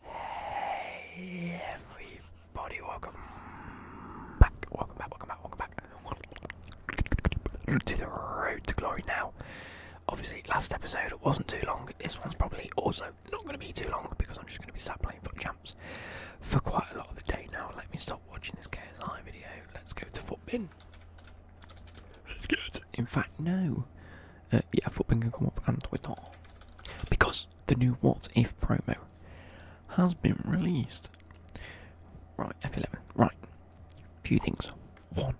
Hey everybody, welcome back, welcome back, welcome back, welcome back to the road to glory now. Obviously last episode wasn't too long, this one's probably also not going to be too long because I'm just going to be sat playing foot champs for quite a lot of the day now. Let me stop watching this KSI video, let's go to footbin. Let's get it. In fact, no. Uh, yeah, footbin can come up and Twitter because the new What If promo has been released. Right, F11. Right, few things. One,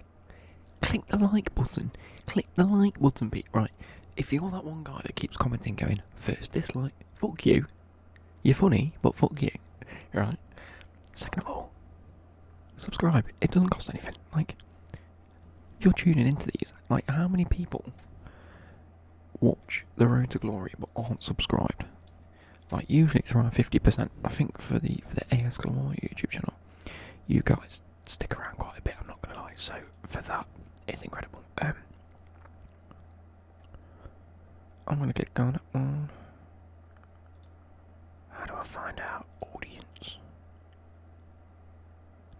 click the like button. Click the like button, Pete. Right, if you're that one guy that keeps commenting, going first dislike, fuck you. You're funny, but fuck you. Right. Second of all, subscribe. It doesn't cost anything. Like, you're tuning into these. Like, how many people watch The Road to Glory but aren't subscribed? Like, usually it's around 50%. I think for the for the AS YouTube channel, you guys stick around quite a bit. I'm not gonna lie. So for that, it's incredible. Um, I'm gonna get going at How do I find our audience?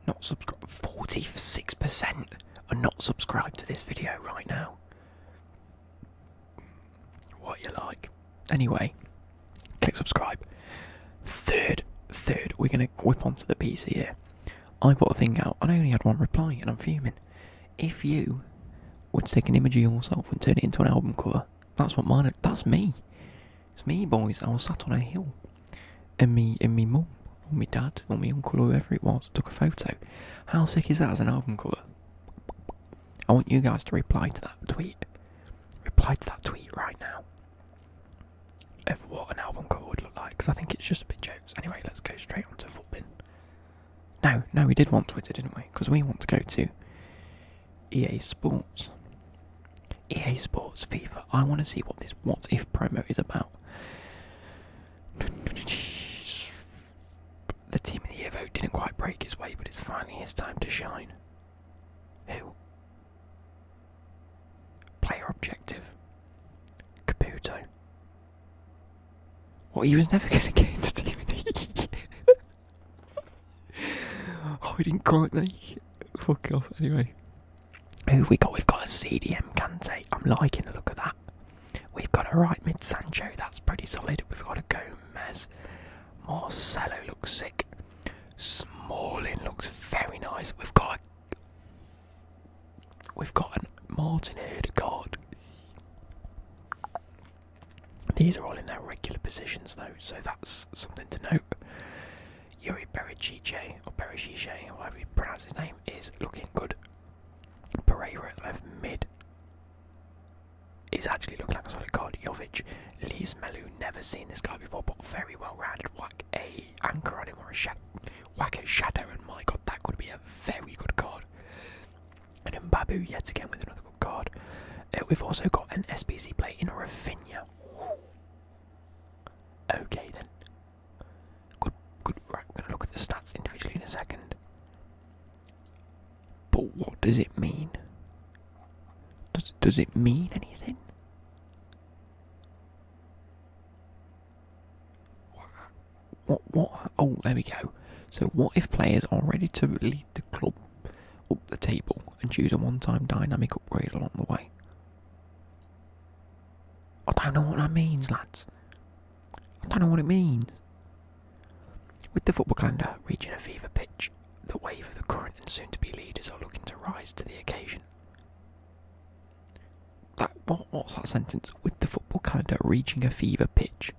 not subscribed. 46% are not subscribed to this video right now. What you like. Anyway, click subscribe. Third, third, we're gonna whip onto the piece here. I put a thing out and I only had one reply and I'm fuming. If you would take an image of yourself and turn it into an album cover, that's what mine that's me. It's me, boys. I was sat on a hill, and me and me mum, or me dad, or me uncle, or whoever it was, took a photo. How sick is that as an album cover? I want you guys to reply to that tweet. Reply to that tweet right now. Of what an album cover would look like, because I think it's just a bit jokes. Anyway, let's go straight on to football. No, no, we did want Twitter, didn't we? Because we want to go to EA Sports. EA Sports, FIFA. I want to see what this what if promo is about. The team of the Evo didn't quite break his way, but it's finally his time to shine. Who? Player objective. Caputo. Well, he was never going to get into team oh, he didn't quite make it. Fuck off. Anyway, who we got? We've got a CDM Kante. I'm liking the look of that. We've got a right mid Sancho. That's pretty solid. We've got a Gomez. Marcelo looks sick. Smalling looks very nice. We've got a, we've got a Martin Odegaard. These are all in their regular positions though, so that's something to note. Yuri Berecice, or Berecice, however you pronounce his name, is looking good. Pereira left mid is actually looking like a solid card. Jovic, Liz Melu, never seen this guy before, but very well rounded. Whack a anchor on him or a shadow. Whack a shadow, and my god, that could be a very good card. And then Babu yet again with another good card. Uh, we've also got an SBC play in Rafinha. Okay then. Good, good. Right, we're gonna look at the stats individually in a second. But what does it mean? Does does it mean anything? What? What? Oh, there we go. So what if players are ready to lead the club up the table and choose a one-time dynamic upgrade along the way? I don't know what that means, lads. I don't know what it means. With the football calendar reaching a fever pitch, the wave of the current and soon to be leaders are looking to rise to the occasion. That, what, what's that sentence? With the football calendar reaching a fever pitch,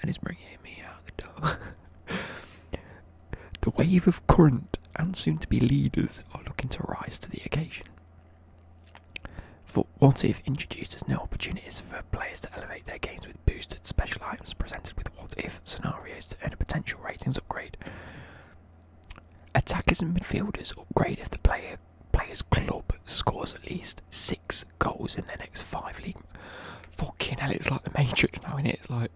and it's bringing me out the door. The wave of current and soon to be leaders are looking to rise to the occasion. For What If introduces new opportunities for players to elevate their games with boosted special items presented with What If scenarios to earn a potential ratings upgrade. Attackers and midfielders upgrade if the player player's club scores at least six goals in their next five league. Fucking hell, it's like the Matrix now, innit? It's like,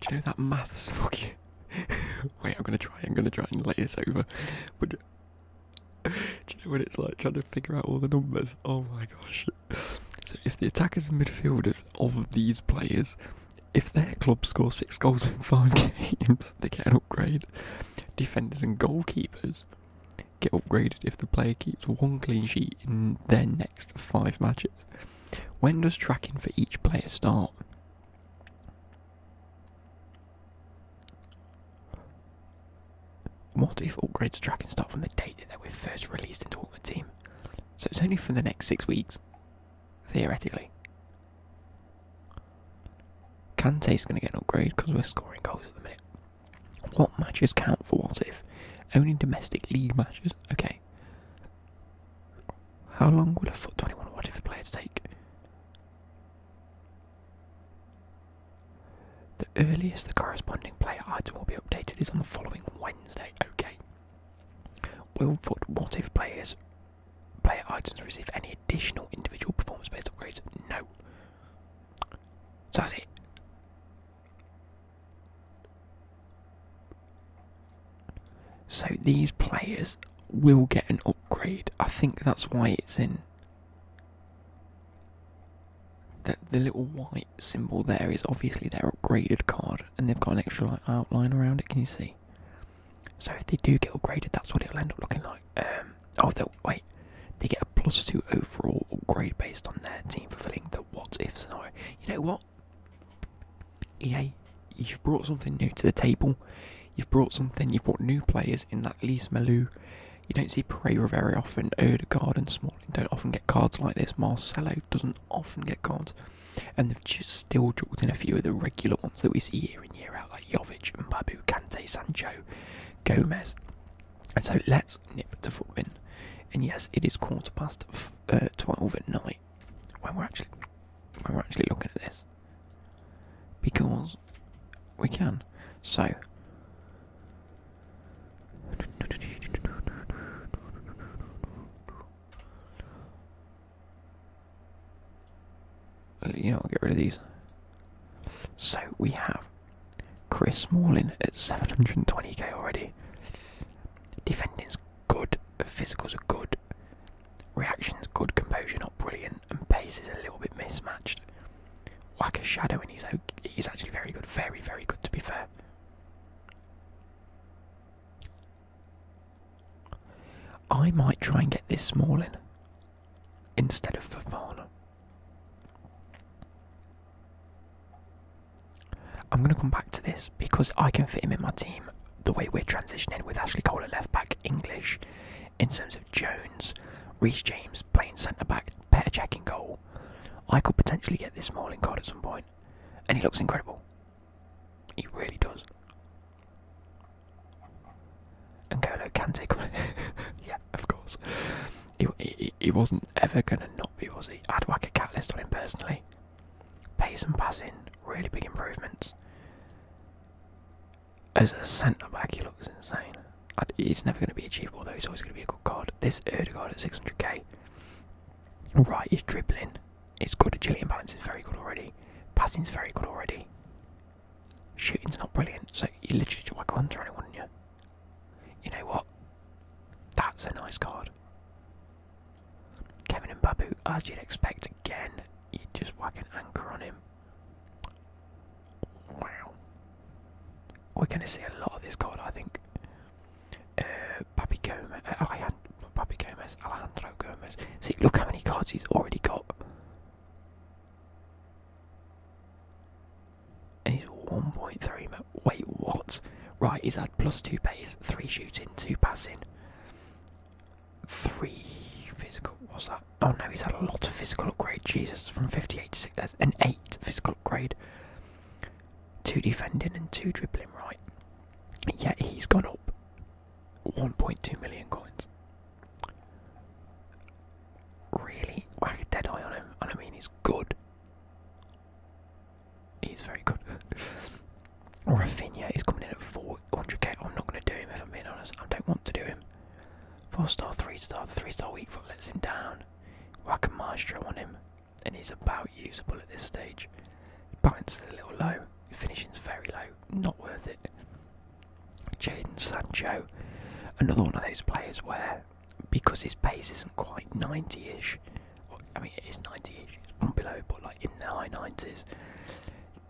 do you know that maths fucking Wait, I'm gonna try. I'm gonna try and lay this over. But do you know what it's like trying to figure out all the numbers? Oh my gosh! So if the attackers and midfielders of these players, if their club score six goals in five games, they can upgrade. Defenders and goalkeepers get upgraded if the player keeps one clean sheet in their next five matches. When does tracking for each player start? What if upgrades tracking start from the date that they were first released into Ultimate Team? So it's only for the next six weeks, theoretically. Can Kante's going to get an upgrade because we're scoring goals at the minute. What matches count for what if? Only domestic league matches? Okay. How long will a foot 21 wide if a player take? The earliest the corresponding player item will be updated is on the following Wednesday. Okay. Will foot what if players player items receive any additional individual performance based upgrades? No. So that's it. So these players will get an upgrade. I think that's why it's in. The, the little white symbol there is obviously their upgraded card, and they've got an extra like, outline around it. Can you see? So if they do get upgraded, that's what it'll end up looking like. Um, oh, they'll, wait, they get a plus two overall grade based on their team fulfilling the what if scenario. You know what? Yeah, you've brought something new to the table. You've brought something, you've brought new players in that Lise Malou. You don't see Pereira very often. Odegaard and Smalling don't often get cards like this. Marcelo doesn't often get cards. And they've just still juggled in a few of the regular ones that we see year in, year out, like and Babu, Cante, Sancho, Gomez. And so let's nip to foot Footbin. And yes, it is quarter past uh, 12 at night when we're actually when we're actually looking at this because we can. So uh, you know, I'll get rid of these. So we have Chris Smalling at 720k already. Defending's good, physicals are good, reactions good, composure not brilliant, and pace is a little bit mismatched. Whack a shadow, and he's he's actually very good, very very good to be fair. I might try and get this small in instead of Fafana. I'm going to come back to this because I can fit him in my team. The way we're transitioning with Ashley Cole at left back, English, in terms of Jones, Reece James playing centre back, better checking goal. I could potentially get this Smalling card at some point, and he looks incredible. He really does. And Golo can take yeah, of course. He, he, he wasn't ever going to not be, was he? I'd whack a cat list on him personally. Pace and passing, really big improvements. As a centre back, he looks insane. He's never going to be achievable though, he's always going to be a good card. This Erdegaard at 600k, right, he's dribbling. It's good, agility and balance is very good already. Passing's very good already. Shooting's not brilliant, so you literally just like a hunter on it, wouldn't you? You know what? That's a nice card. Kevin and Babu, as you'd expect again, you just wag an anchor on him. Wow. We're going to see a lot of this card, I think. Uh, Gomez, uh, Alejandro, Gomez, Alejandro Gomez. See, look how many cards he's already got. And he's 1.3. Wait, what? Right, he's had plus two base, three shooting, two passing three physical. What's that? Oh no, he's had a lot of physical upgrade. Jesus, from 58 to 6. That's an 8 physical upgrade. 2 defending and 2 dribbling, right? Yet he's gone up 1.2 million coins. Really? Whack a dead eye on him. And I mean, he's good. He's very good. Rafinha is coming in at 400k. I'm not going to do him if I'm being honest. I don't want to do him. Four star, three star, three star weak foot lets him down. Whack a maestro on him, and he's about usable at this stage. Balance is a little low. Finishing's very low. Not worth it. Jaden Sancho, another one of those players where because his pace isn't quite 90-ish. I mean, it is 90-ish. It's below, but like in the high 90s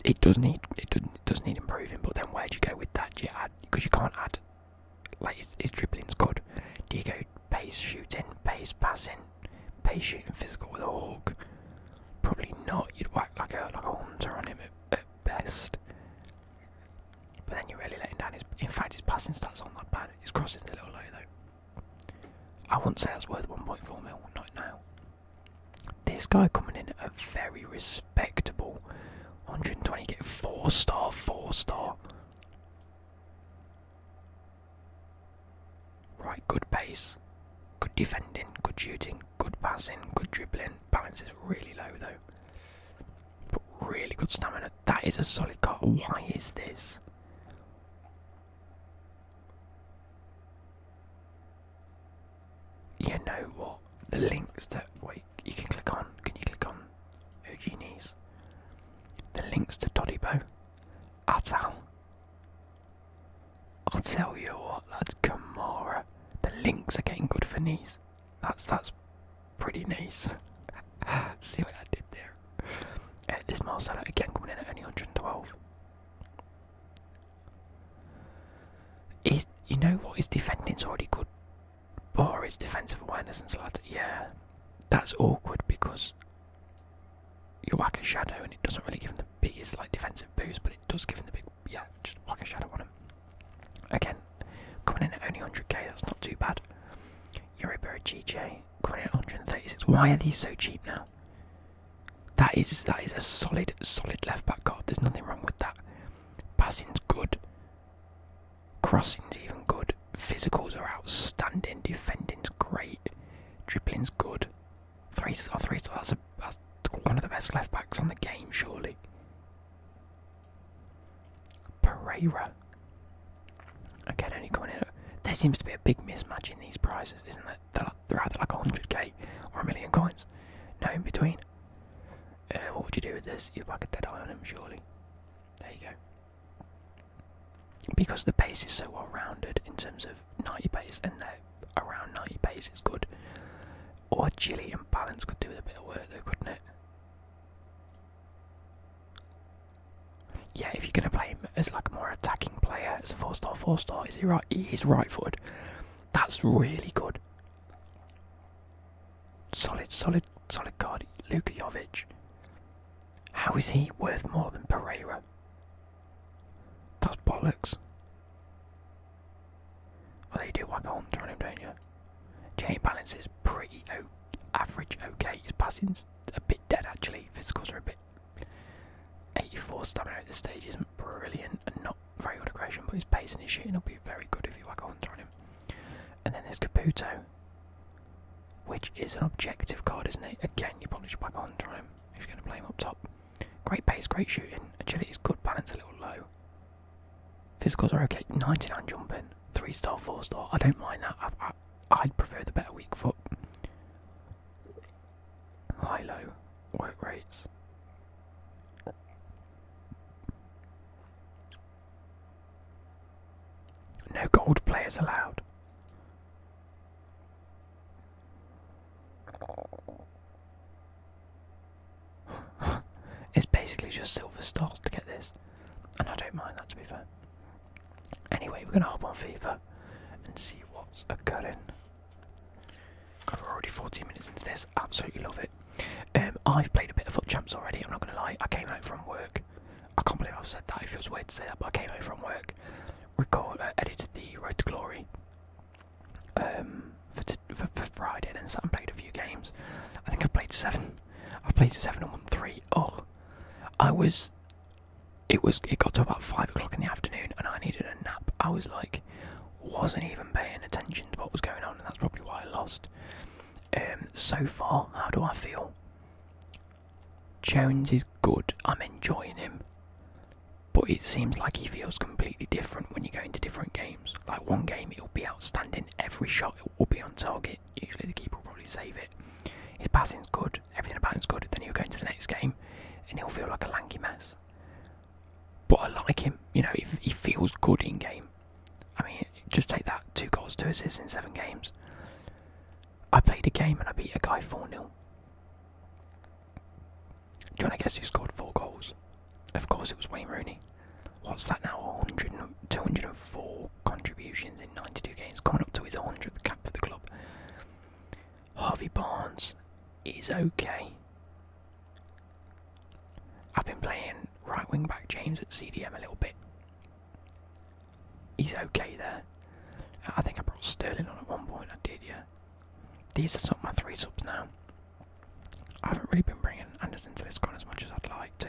it does need it does does need improving. But then where do you go with that? because you can't add like his, his dribbling's good. Do you go pace shooting, pace passing, pace shooting physical with a hawk? Probably not. You'd whack like a like a hunter on him at, best. But then you're really letting down his. In fact, his passing stats aren't that bad. His crossing's a little low though. I wouldn't say that's worth 1.4 mil. Not now. This guy coming in a very respectable 120 get four star, four star. Right, good pace, good defending, good shooting, good passing, good dribbling. Balance is really low though. But really good stamina. That is a solid card. Why is this? You know what? The links to wait, you can click on. Can you click on Ugenie's? The links to Doddybo, Atal. I'll tell you what, that's Gamora. The links are getting good for knees. That's that's pretty nice. See what I did there. Uh, this Marcella again coming in at only 112. Is you know what his defending's already good, or his defensive awareness and slider. Yeah, that's awkward because you are whack a shadow and it doesn't really give him the biggest like defensive boost, but it does give him the big yeah. Just whack a shadow on him. Again, coming in at only 100k, that's not too bad. Eurobird GJ coming in at 136. Why are these so cheap now? That is that is a solid, solid left back card. There's nothing wrong with that. Passing's good. Crossing's even good. Physicals are outstanding. Defending's great. Dribbling's good. Three star, three star. That's, one of the best left backs on the game, surely. Pereira. Again, only coming in. There seems to be a big mismatch in these prizes, isn't there? they're, either like 100k or a million coins. No in between. Uh, what would you do with this? You'd like a dead eye on him, surely. There you go. Because the pace is so well rounded in terms of 90 pace, and they're around 90 pace is good. Or Chile and Balance could do with a bit of work though, couldn't it? Yeah, if you're going to play him as like more attacking player. It's a four star, four star. Is he right? He right footed. That's really good. Solid, solid, solid card. Luka How is he worth more than Pereira? That's bollocks. Well, you do whack on, turn him, don't you? Chain balance is pretty average, okay. His passing's a bit dead actually. scores are a bit 84 stamina at this stage isn't brilliant and not very good aggression, but his pace and his shooting will be very good if you whack a hunter on him. And then there's Caputo, which is an objective card, isn't it? Again, you probably should whack a on him if you're going to play him up top. Great pace, great shooting, agility is good, balance a little low. Physicals are okay, 99 jumping, 3 star, 4 star. I don't mind that. I'd prefer the better weak foot high low work rates. No gold players allowed. it's basically just silver stars to get this, and I don't mind that to be fair. Anyway, we're gonna hop on FIFA and see what's occurring i we already 40 minutes into this. Absolutely love it. Um, I've played a bit of Foot Champs already. I'm not gonna lie. I came home from work. I can't believe I've said that. It feels weird to say that, but I came home from work. We uh, edited the Road to Glory. Um, for, t for, Friday, then sat and played a few games. I think I've played seven. I've played seven and won three. Oh, I was, it was it got to about five o'clock in the afternoon and I needed a nap. I was like wasn't even paying attention to what was going on and that's probably why I lost. Um, so far, how do I feel? Jones is good, I'm enjoying him. But it seems like he feels completely different when you go into different games. Like one game it will be outstanding, every shot it will be on target. Usually the keeper will probably save it. His passing is good everything about him's good. Then he'll go into the next game, and he'll feel like a lanky mess. But I like him. You know, if he feels good in game. I mean, just take that: two goals, two assists in seven games. I played a game and I beat a guy four 0 Do you want to guess who scored four goals? Of course, it was Wayne Rooney. What's that now? 204 contributions in 92 games, coming up to his 100th cap for the club. Harvey Barnes is okay. I've been playing right wing back James at CDM a little bit. He's okay there. I think I brought Sterling on at one point, I did, yeah. These are sort of my three subs now. I haven't really been bringing Anderson to this con as much as I'd like to.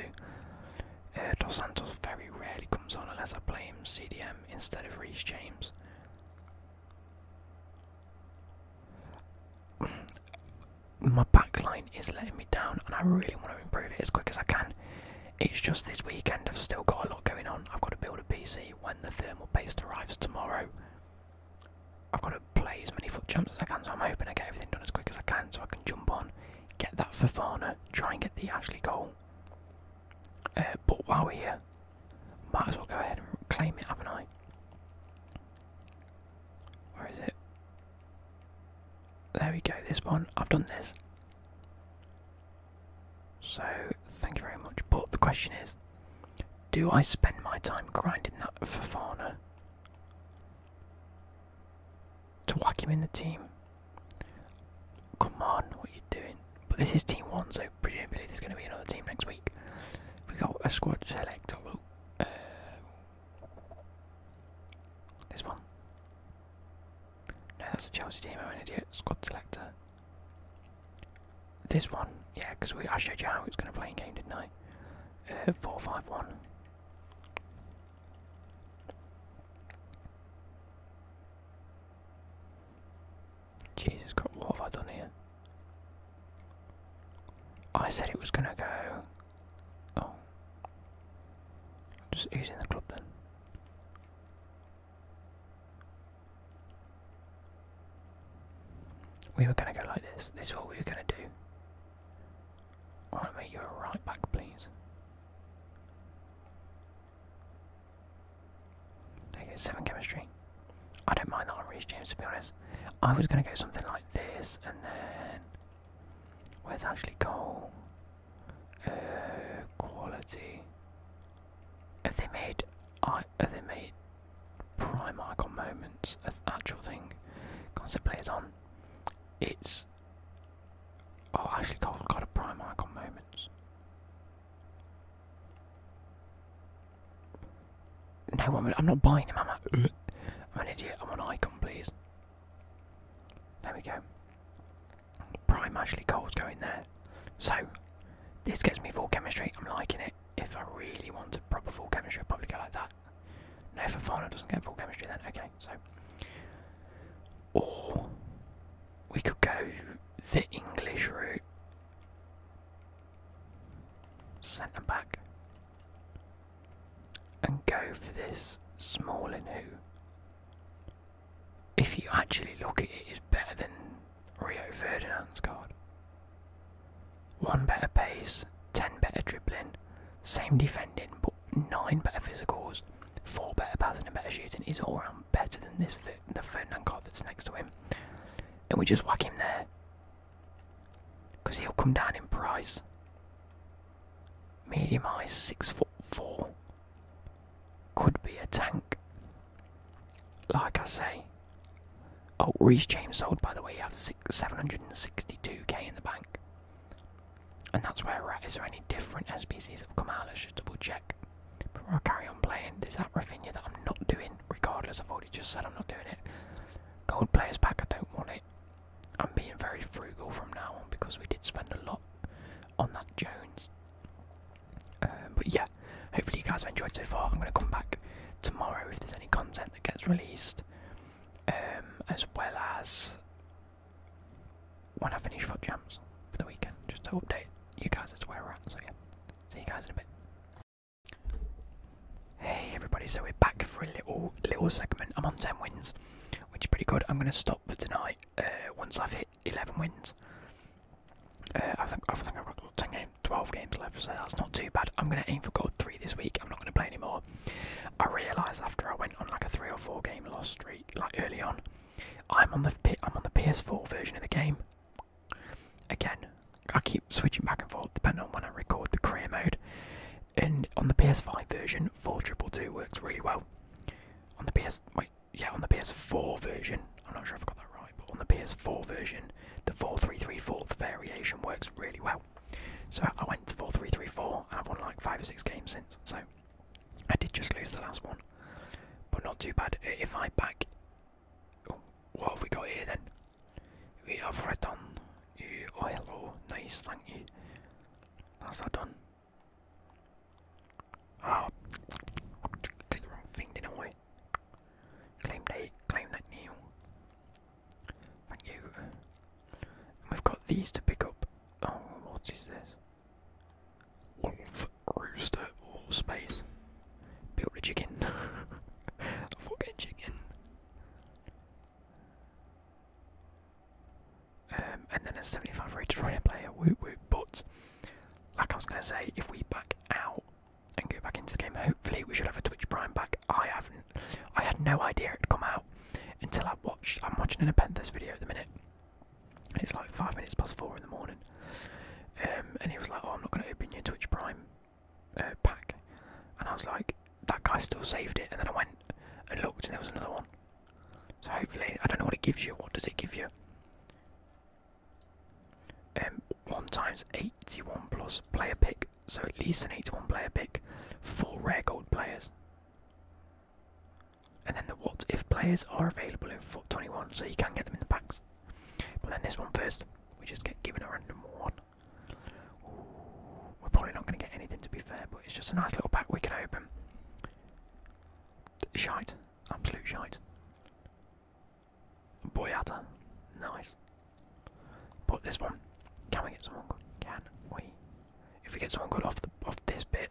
Uh, Dos Santos very rarely comes on unless I play him CDM instead of Reece James. My back line is letting me down, and I really want to improve it as quick as I can. It's just this weekend, I've still got a lot going on. I've got to build a PC when the thermal paste arrives tomorrow. I've got to play as many foot jumps as I can, so I'm hoping I get everything done as quick as I can so I can jump on, get that Fafana, try and get the Ashley goal. Uh, but while we're here, might as well go ahead and claim it, haven't I? Where is it? There we go, this one. I've done this. So, thank you very much. But the question is, do I spend my time grinding that Fafana to whack him in the team? Come on, what are you doing? But this is team one, so presumably there's going to be another team next week. We got a squad selector. Uh, this one. No, that's a Chelsea team. I'm an idiot. Squad selector. This one, yeah, because I showed you how it's going to play in game, didn't I? Uh, four, five, one. Jesus Christ, what have I done here? I said it was gonna go. Oh. Just who's the club then? We were gonna go like this. This is what we were gonna do. I want to make you a right back, please. There you go, 7 chemistry. I don't mind that on Reese James to be honest. I was going to go something like this and then. Where's actually goal? Uh, quality. Have they made. have they made prime icon moments as actual thing? Concept players on. It's. Oh, actually, Cole got a prime icon moment. No, I'm, not buying them, am I? am an idiot. I'm an icon, please. There we go. Prime Ashley Cole's going there. So, this gets me full chemistry. I'm liking it. If I really want a proper full chemistry, I'll probably go like that. No, if a farmer doesn't get full chemistry then. Okay, so. Or, we could go the English route centre back, and go for this Smalling, who, if you actually look at it, is better than Rio Ferdinand's card. One better pace, ten better dribbling, same defending, but nine better physicals, four better passing and better shooting. Is all round better than this the Ferdinand cart that's next to him, and we just whack him there. Because he'll come down in price. Medium ice, six foot four. Could be a tank. Like I say. Oh, Reese James sold, by the way, you have 762 762k in the bank. And that's where we're at. Is there any different SPCs that have come out? Let's double check back. Before I carry on playing, Is that Rafinha that I'm not doing, regardless. I've already just said I'm not doing it. Gold players back. I don't want it. I'm being very frugal from now on because we did spend a lot on that Jones. Um, but yeah, hopefully you guys have enjoyed so far. I'm going to come back tomorrow if there's any content that gets released, um, as well as when I finish foot jams for the weekend, just to update you guys as to where we're at. So yeah, See you guys in a bit. Hey everybody, so we're back for a little little segment. I'm on 10 wins, which is pretty good. I'm going to stop for tonight uh, once I've hit 11 wins. Uh, I, think, I have got 10 games, 12 games left, so that's not too bad. I'm going to aim for gold 3 this week. I'm not going to play anymore. I realised after I went on like a 3 or 4 game loss streak, like early on, I'm on the I'm on the PS4 version of the game, Again, I keep switching back and forth depending on when I record the career mode. And on the PS5 version, 4222 works really well. On the PS, wait, yeah, on the PS4 version, I'm not sure if I got that right, but on the PS4 version, the 4334th variation works really well. So I went to 4334 and I've won like 5 or 6 games since, so I did just lose the last one. But not too bad. If I back Oh, what have we got here then? We have return. You, oh hello, nice, thank you. How's that done? Ah, oh. click the wrong thing, did Claim date, claim that new. Thank you. And we've got these to pick up. Oh, what is this? rooster, or space. Build a chicken. fucking chicken. Um, and then a 75 rated rare player, whoop whoop, but like I was going to say, if we back out and go back into the game, hopefully we should have a Twitch Prime back. I haven't, I had no idea it'd come out until I watched, I'm watching an Apenthus video at the minute, and it's like 5 minutes past 4 in the morning, um, and he was like, "Oh, I'm not going to open your Twitch Prime uh, pack," and I was like, "That guy still saved it." And then I went and looked, and there was another one. So hopefully, I don't know what it gives you. What does it give you? Um, one times eighty-one plus player pick, so at least an eighty-one player pick, four rare gold players. And then the what if players are available in 21, so you can get them in the packs. But then this one first, we just get given a random one. we're probably not going to get anything to be fair, but it's just a nice little pack we can open. Shite, absolute shite. Boyata, nice. But this one, can we get someone Can we? If we get someone good off the off this bit,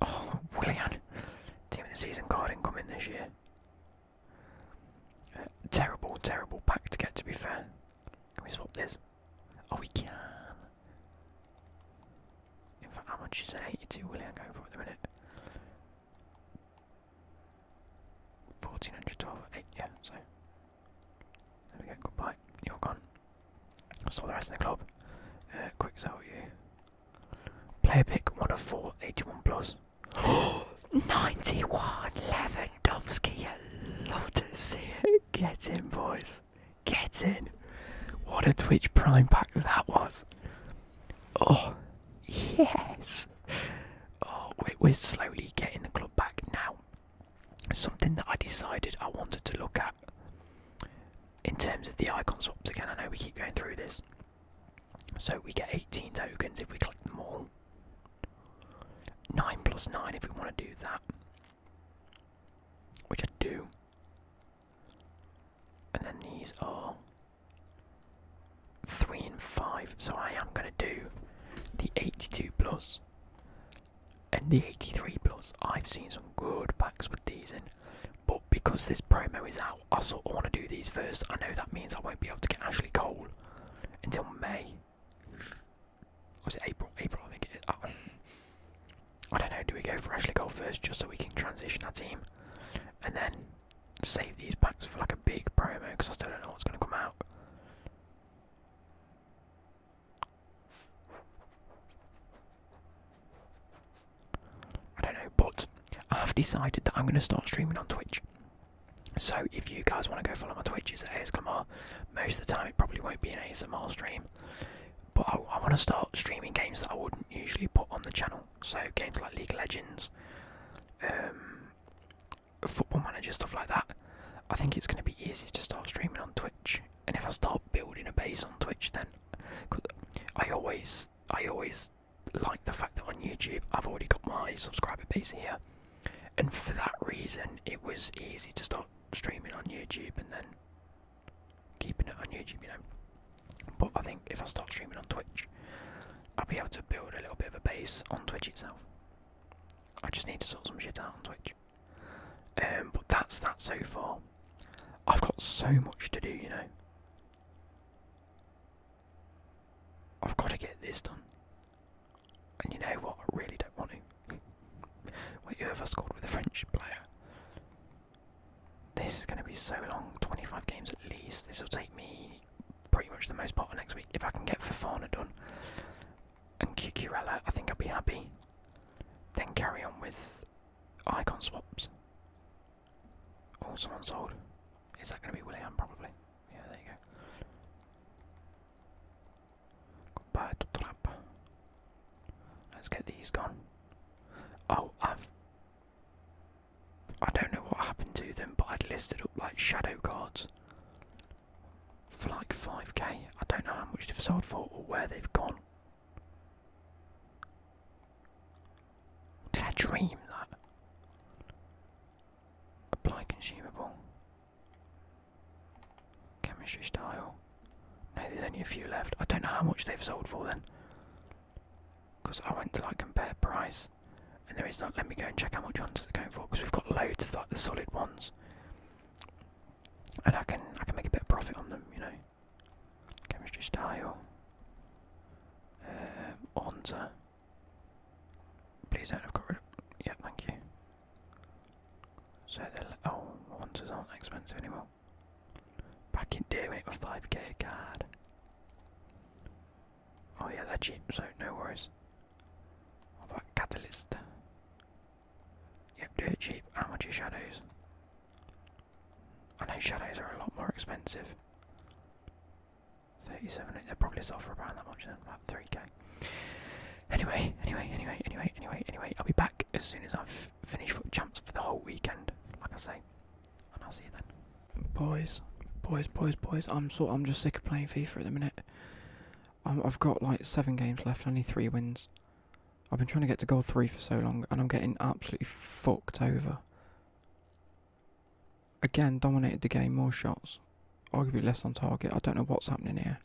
Oh, William! Team of the season card incoming this year. Uh, terrible, terrible pack to get, to be fair. Can we swap this? Oh, we can. In fact, how much is an 82 Willian going for at the minute? 1412, eight, yeah, so there goodbye. You're gone. I saw the rest of the club. Uh, quick sell you. Player pick one of four, 81 91 Lewandowski. I love to see it. Get in, boys. Get in. What a Twitch Prime pack that was. Oh, yes. Oh, we're slowly getting the club back now something that I decided I wanted to look at in terms of the icon swaps again. I know we keep going through this. So we get 18 tokens if we click them all. 9 plus 9 if we want to do that. Which I do. And then these are 3 and 5. So I am going to do the 82 plus and the 83 plus, I've seen some good packs with these in. But because this promo is out, I sort of want to do these first. I know that means I won't be able to get Ashley Cole until May. Was it April? April, I think it is. I don't know. Do we go for Ashley Cole first just so we can transition our team? And then save these packs for like a big promo because I still don't know what's going to come out. I don't know, but I've decided that I'm going to start streaming on Twitch. So if you guys want to go follow my Twitch, at ASClamar. Most of the time, it probably won't be an ASMR stream. But I, I want to start streaming games that I wouldn't usually put on the channel. So games like League of Legends, um, Football Manager, stuff like that. I think it's going to be easy to start streaming on Twitch and if I start building a base on Twitch, then I always, I always like the fact that on YouTube I've already got my subscriber base here, and for that reason, it was easy to start streaming on YouTube and then keeping it on YouTube, you know. But I think if I start streaming on Twitch, I'll be able to build a little bit of a base on Twitch itself. I just need to sort some shit out on Twitch. Um, but that's that so far. I've got so much to do, you know. I've got to get this done. And you know what? I really don't want to. What who have I scored with a French player? This is going to be so long 25 games at least. This will take me pretty much the most part of next week. If I can get Fafana done, and Kikirella, I think I'll be happy. Then carry on with icon swaps. Also oh, someone's sold. Is that going to be William? Probably. Yeah, there you go. Goodbye to Trap. Let's get these gone. Oh, I've. I don't know what happened to them, but I'd listed up like shadow cards for like 5k. I don't know how much they've sold for or where they've gone. Did I dream that? Apply consumable. Chemistry style. No, there's only a few left. I don't know how much they've sold for then. Because I went to like compare price. And there is not. Let me go and check how much ones are going for because we've got loads of like the solid ones and I can I can make a bit of profit on them, you know. Chemistry style. Um, Onza. Please don't have got rid of. Yeah, thank you. So they oh, Onzas aren't expensive anymore. Back in day when it was five k a card. Oh yeah, they're cheap, so no worries. What about catalyst? Yep, do it cheap. How much are shadows? I know shadows are a lot more expensive. 37, they They're probably sell for around that much then, about 3k. Anyway, anyway, anyway, anyway, anyway, anyway, I'll be back as soon as I've finished foot jumps for the whole weekend, like I say. And I'll see you then. Boys, boys, boys, boys, I'm sort I'm just sick of playing FIFA at the minute. I've got like seven games left, only three wins. I've been trying to get to goal 3 for so long and I'm getting absolutely fucked over. Again, dominated the game, more shots. Arguably less on target. I don't know what's happening here.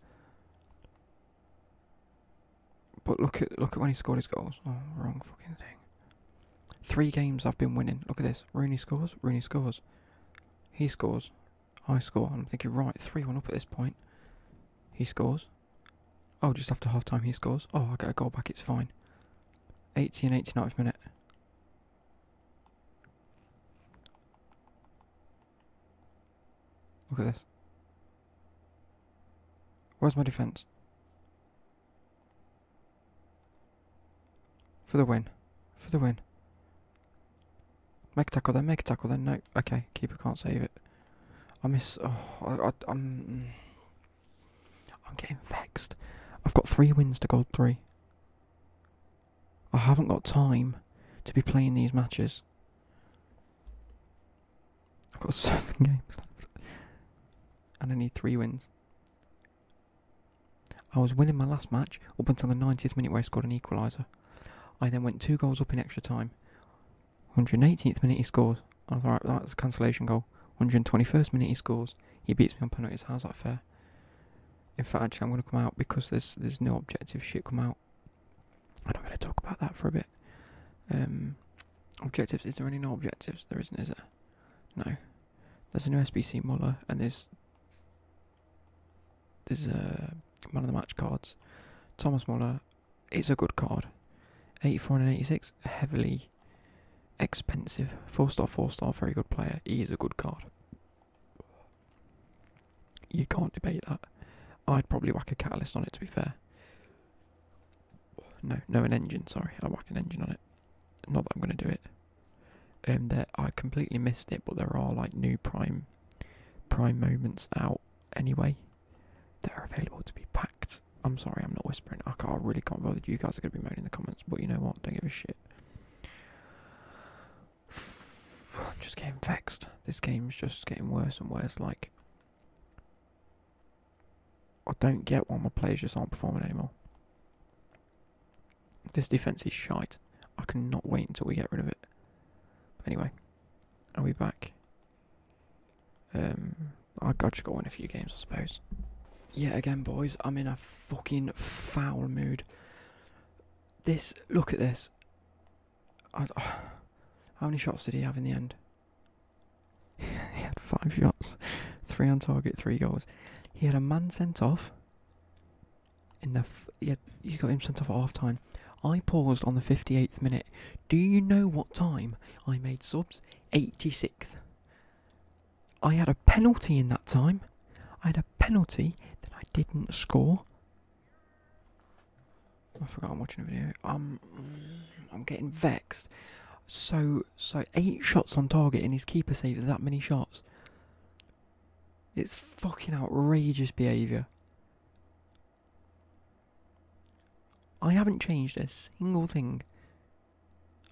But look at look at when he scored his goals. Oh, wrong fucking thing. Three games I've been winning. Look at this. Rooney scores, Rooney scores. He scores. I score. I'm thinking, right, 3 1 up at this point. He scores. Oh, just after half time, he scores. Oh, I get a goal back, it's fine. 80 and 89th minute. Look at this. Where's my defence? For the win. For the win. Make a tackle then, a tackle then, no. Okay, keeper can't save it. I miss, oh, I, I'm, I'm getting vexed. I've got three wins to gold three. I haven't got time to be playing these matches. I've got seven games left. And I need three wins. I was winning my last match up until the 90th minute where I scored an equaliser. I then went two goals up in extra time. 118th minute he scores. I that's a cancellation goal. 121st minute he scores. He beats me on penalties. How's that fair? In fact, actually, I'm going to come out because there's there's no objective shit come out. I'm going to talk about that for a bit. Um, objectives. Is there any no objectives? There isn't, is there? No. There's a new SBC Muller and there's there's a man of the match cards. Thomas Muller is a good card. 84 and 86, heavily expensive. 4 star, 4 star, very good player. He is a good card. You can't debate that. I'd probably whack a catalyst on it to be fair. No, no, an engine, sorry. I'll whack an engine on it. Not that I'm going to do it. Um, there, I completely missed it, but there are like new prime prime moments out anyway they are available to be packed. I'm sorry, I'm not whispering. I, can't, I really can't bother. You guys are going to be moaning in the comments, but you know what? Don't give a shit. I'm just getting vexed. This game's just getting worse and worse. Like, I don't get why my players just aren't performing anymore. This defense is shite. I cannot wait until we get rid of it. anyway, um, I'll be back? I got to go in a few games, I suppose. Yeah, again, boys, I'm in a fucking foul mood. This, look at this. how many shots did he have in the end? he had five shots, three on target, three goals. He had a man sent off in the yeah, you got him sent off at half time. I paused on the 58th minute. Do you know what time I made subs? 86th. I had a penalty in that time. I had a penalty that I didn't score. I forgot I'm watching a video. Um, I'm getting vexed. So, so eight shots on target and his keeper saved that many shots. It's fucking outrageous behaviour. I haven't changed a single thing.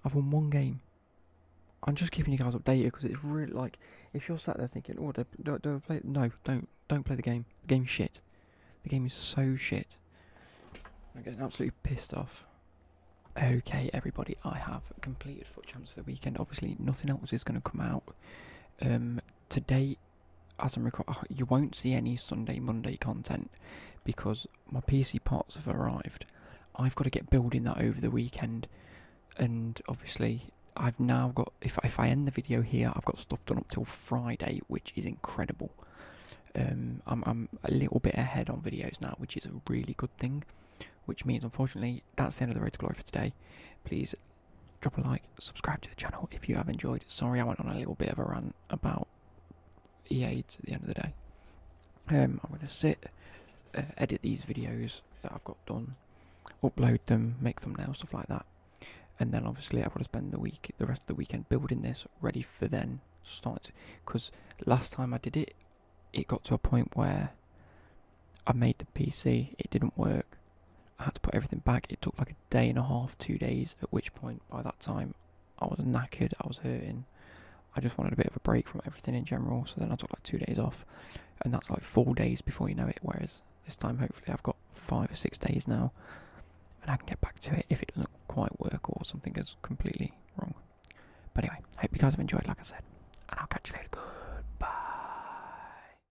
I've won one game. I'm just keeping you guys updated because it's really like if you're sat there thinking, "Oh, do, do, do I play?" No, don't don't play the game. The game is shit. The game is so shit. I'm getting absolutely pissed off. Okay, everybody, I have completed Foot Champs for the weekend. Obviously, nothing else is going to come out. Um, today as I'm recording, oh, you won't see any Sunday, Monday content because my PC parts have arrived. I've got to get building that over the weekend, and obviously I've now got. If I end the video here, I've got stuff done up till Friday, which is incredible. Um, I'm a little bit ahead on videos now, which is a really good thing. Which means, unfortunately, that's the end of the road to glory for today. Please drop a like, subscribe to the channel if you have enjoyed. Sorry, I went on a little bit of a run about EAs at the end of the day. Um, I'm going to sit, uh, edit these videos that I've got done, upload them, make thumbnails, stuff like that. And then obviously I've got to spend the week, the rest of the weekend building this, ready for then start. Because last time I did it, it got to a point where I made the PC, it didn't work, I had to put everything back. It took like a day and a half, two days, at which point by that time I was knackered, I was hurting. I just wanted a bit of a break from everything in general, so then I took like two days off, and that's like four days before you know it. Whereas this time, hopefully, I've got five or six days now, and I can get back to it if it doesn't quite work or something goes completely wrong. But anyway, hope you guys have enjoyed, like I said, and I'll catch you later. Goodbye.